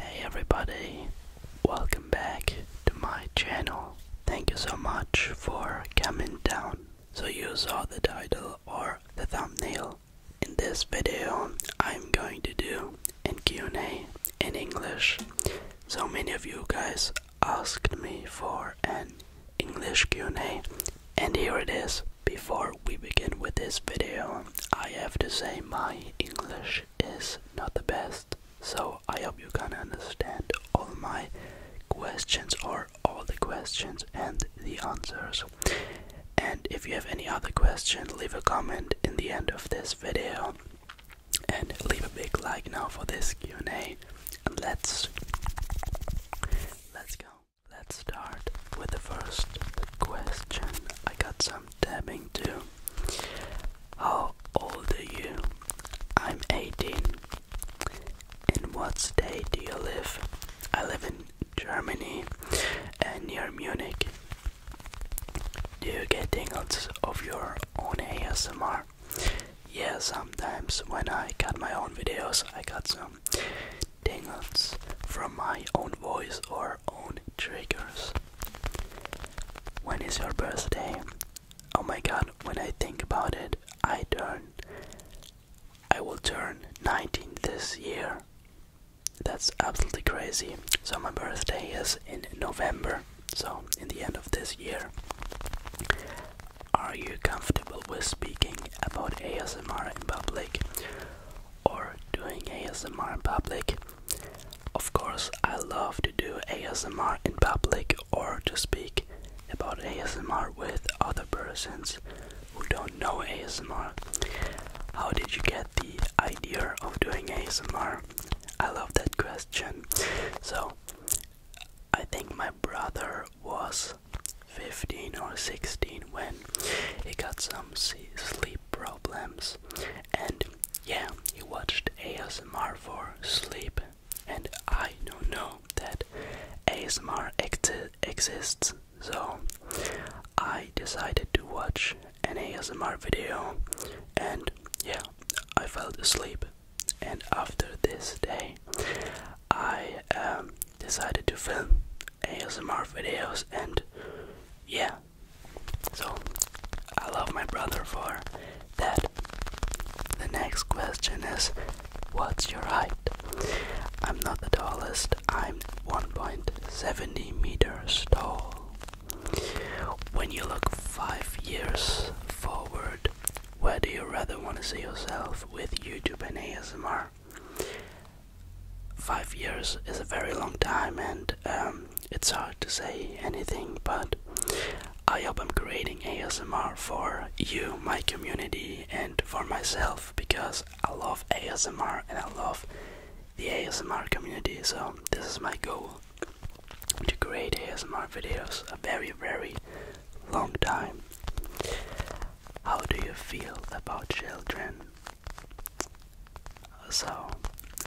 Hey everybody, welcome back to my channel. Thank you so much for coming down. So you saw the title or the thumbnail. In this video, I'm going to do an Q&A in English. So many of you guys asked me for an English Q&A and here it is. Before we begin with this video, I have to say my English is not the best, so I hope you can understand all my questions or all the questions and the answers. And if you have any other question, leave a comment in the end of this video and leave a big like now for this Q&A and let's Let's go. Let's start with the first question. I got some damning too. How old are you? I'm 18. In what state do you live? I live in Germany and near Munich. Do you get tingles of your own ASMR? Yeah, sometimes when I cut my own videos, I got some tingles from my own voice or own triggers. When is your birthday? Oh my god, when I think about it, I turn. I will turn 19 this year. That's absolutely crazy. So, my birthday is in November, so in the end of this year. Are you comfortable with speaking about ASMR in public or doing ASMR in public? Of course, I love to do ASMR in public or to speak about ASMR with other persons who don't know ASMR. How did you get the idea of doing ASMR? I love that question. So, I think my brother was 15 or 16 when he got some sleep problems, and yeah, he watched ASMR for sleep. And I don't know that ASMR exists, so I decided to watch an ASMR video, and yeah, I fell asleep and after this day, I um, decided to film ASMR videos, and yeah, so I love my brother for that. The next question is, what's your height? I'm not the tallest. I'm 1.70 meters tall. When you look five years forward, where do you rather want to see yourself with YouTube and ASMR? Five years is a very long time, and um, it's hard to say anything, but I hope I'm creating ASMR for you, my community, and for myself because I love ASMR and I love the ASMR community. So, this is my goal to create ASMR videos, a very, very long time. How do you feel about children? So,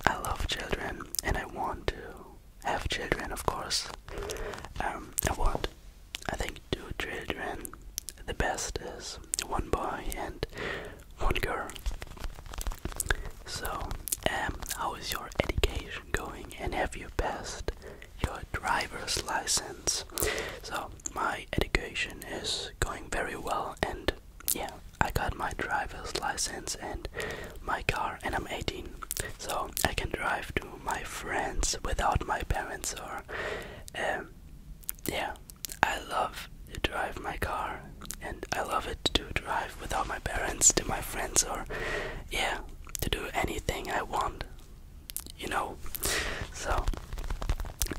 I love children and I want to have children, of course. Um, I want, I think, two children. The best is one boy and one girl. So, um, how is your education? going and have your best your driver's license. So my education is going very well and yeah, I got my driver's license and my car and I'm 18. So I can drive to my friends without my parents or um yeah, I love to drive my car and I love it to drive without my parents to my friends or yeah, to do anything I want you know. So,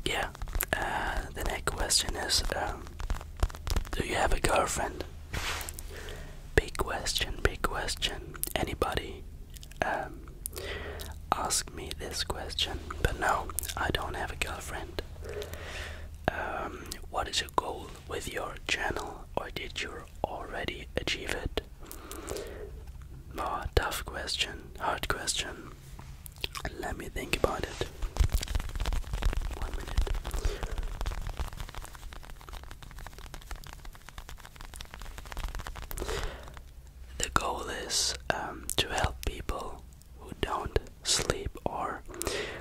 yeah. Uh, the next question is um, Do you have a girlfriend? Big question, big question. Anybody um, ask me this question, but no, I don't have a girlfriend. Um, what is your goal with your channel, or did you already achieve it? More tough question, hard question. Let me think about it. The goal is um, to help people who don't sleep or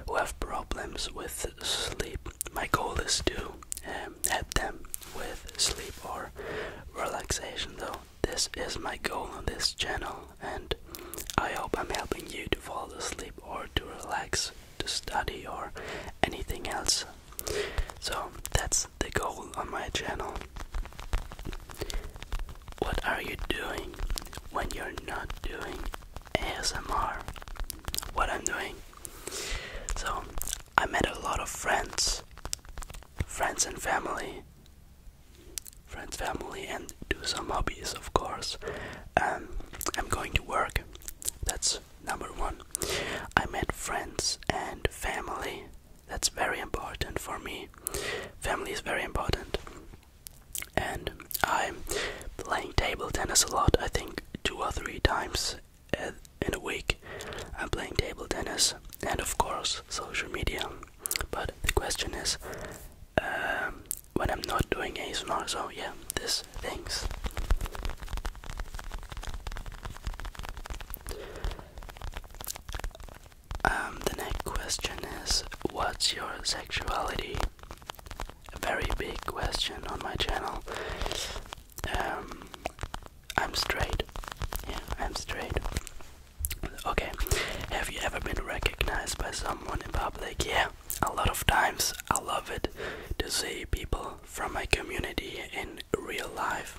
who have problems with sleep. My goal is to um, help them with sleep or relaxation. Though this is my goal on this channel, and I hope I'm helping you to fall asleep or to relax, to study or anything else. So that's the goal on my channel. What are you doing when you're not doing ASMR? What I'm doing. So I met a lot of friends, friends and family, friends, family, and do some hobbies, of course. Um, I'm going to work. That's number one. I met friends and family. That's very important for me. Family is very important. And I'm playing table tennis a lot. I think two or three times in a week. I'm playing table tennis and, of course, social media. But the question is um, when I'm not doing ASMR, so yeah, these things. Um, the next question is What's your sexuality? A very big question on my channel um, I'm straight. Yeah, I'm straight. Okay, have you ever been recognized by someone in public? Yeah, a lot of times. I love it to see people from my community in real life,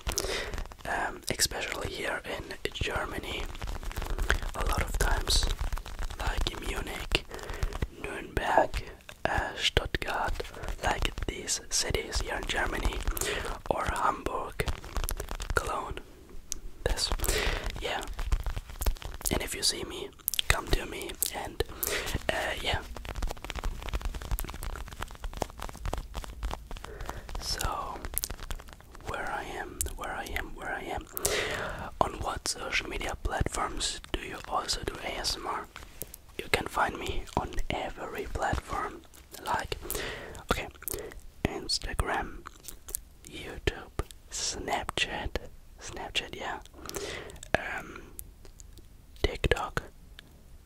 um, especially here in Germany. A lot of times, like in Munich, Nuremberg, uh, Stuttgart, like these cities here in Germany, or Hamburg, Cologne. This, yeah. And if you see me, come to me, and uh, yeah. So, where I am, where I am, where I am. On what social media platforms do you also do ASMR? you can find me on every platform like okay Instagram, YouTube, Snapchat, Snapchat, yeah, um, TikTok,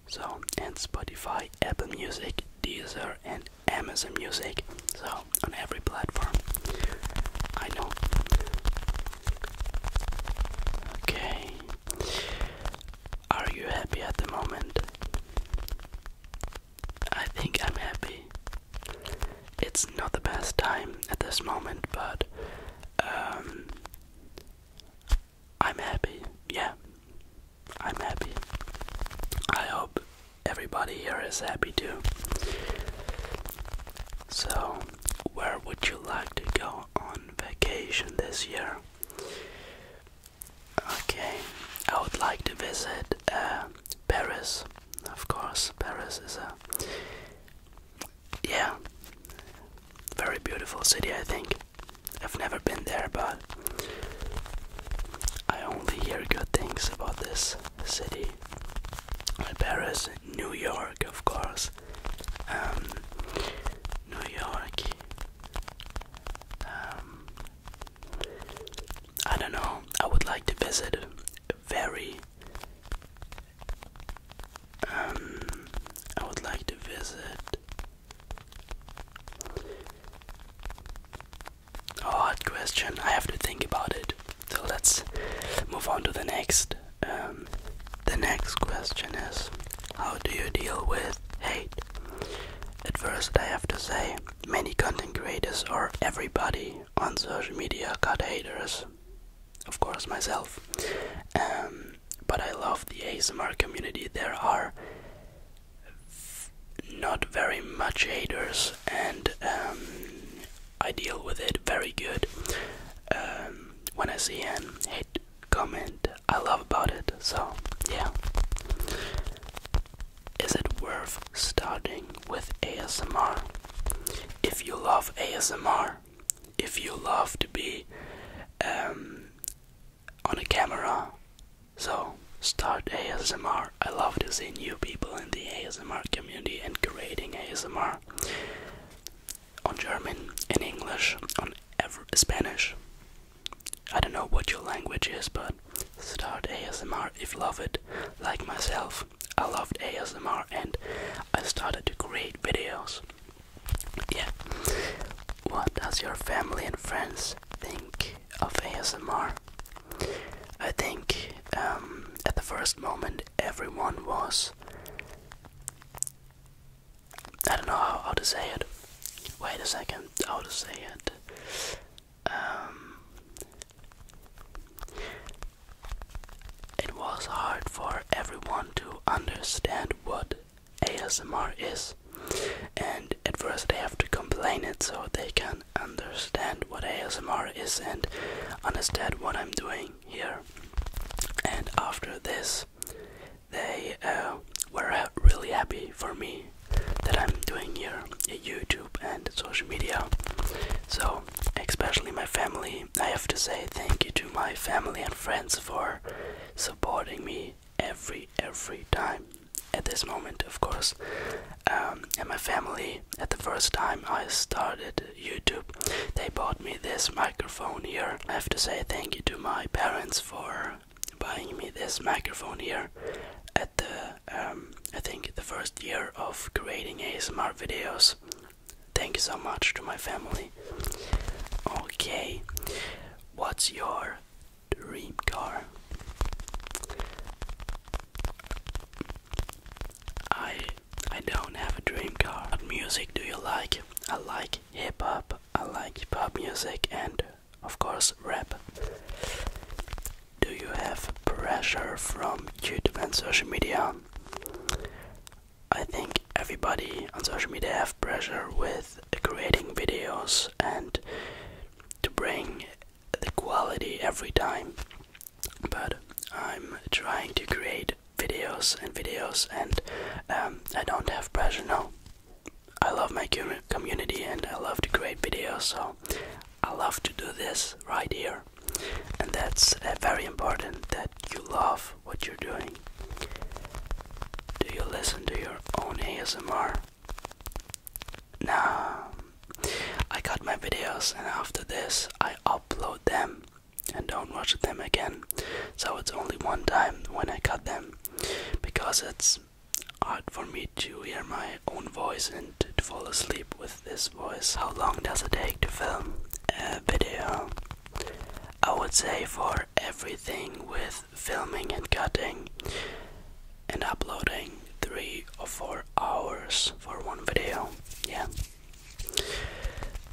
so and Spotify, Apple Music, Deezer, and Amazon Music. So on every platform, I know. Okay, are you happy at the moment? I think I'm happy. It's not the best time at this moment, but um, I'm happy. Yeah, I'm happy. I hope everybody here is happy too. So, where would you like to go on vacation this year. Okay, I would like to visit uh, Paris. Of course, Paris is a yeah, very beautiful city. I think I've never been there, but I only hear good things about this city. Paris, New York, of course. Um, New York. Um, I don't know. I would like to visit very. Um, I would like to visit. A hard question. I have to think about it. So let's move on to the next. Um, the next question is How do you deal with hate? At first, I have to say, many content creators or everybody on social media got haters. Of course, myself. Um, but I love the ASMR community. There are not very much haters, and um, I deal with it very good. when I see an hate comment, I love about it. So, yeah. Is it worth starting with ASMR? If you love ASMR, if you love to be um, on a camera, so start ASMR. I love to see new people in the ASMR community and creating ASMR on German, in English, on Spanish. I don't know what your language is, but start ASMR if you love it. Like myself, I loved ASMR and I started to create videos. Yeah. What does your family and friends think of ASMR? I think um, at the first moment everyone was I don't know how, to say it. Wait a second, how to say it. Um, it was hard for everyone to understand what ASMR is, and at first they have to complain it so they can understand what ASMR is and understand what I'm doing here. And after this, they uh, were uh, really happy for me that I'm doing here YouTube and social media. So, especially my family, I have to say thank you to my family and friends for supporting me every every time. At this moment, of course, um, and my family. At the first time I started YouTube, they bought me this microphone microphone here. I have to say thank you to my parents for buying me this microphone here at the um, I think the first year of creating ASMR videos. Thank you so much to my family. Okay, what's your dream car? I I don't have a dream car. What music do you like? I like hip hop, I like hip hop music, and of course, rap. Do you have pressure from YouTube and social media? I think everybody on social media have pressure with creating videos and to bring the quality every time. But I'm trying to create videos and videos, and um, I don't have pressure No, I love my community and I love to create videos, so I love to do this right here. And that's uh, very important that you love what you're doing. Do you listen to your own ASMR? Nah, I got my videos, and after this, I upload them and don't wash them again. So it's only one time when I cut them because it's hard for me to hear my own voice and to fall asleep with this voice. How long does it take to film a video? I would say for everything with filming and cutting and uploading three or four hours for one video. Yeah,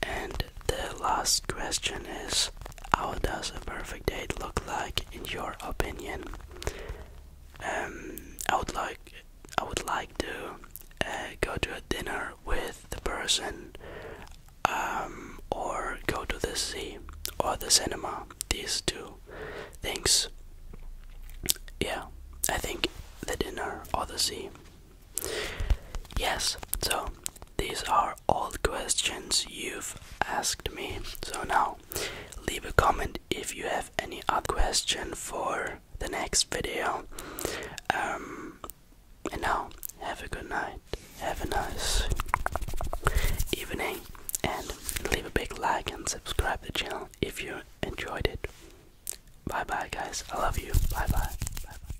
and the last question is how does a perfect date look like in your opinion? Um, I would like I would like to uh, go to a dinner with the person, um, or go to the sea or the cinema. These two things. Yeah, I think the dinner or the sea. Yes, so these are all questions you've asked me. So now leave a comment if you have any other question for the next video. Um, and now have a good night, have a nice evening, and leave a big like and subscribe to the channel if you enjoyed it. Bye bye, guys. I love you. Bye bye. Bye bye.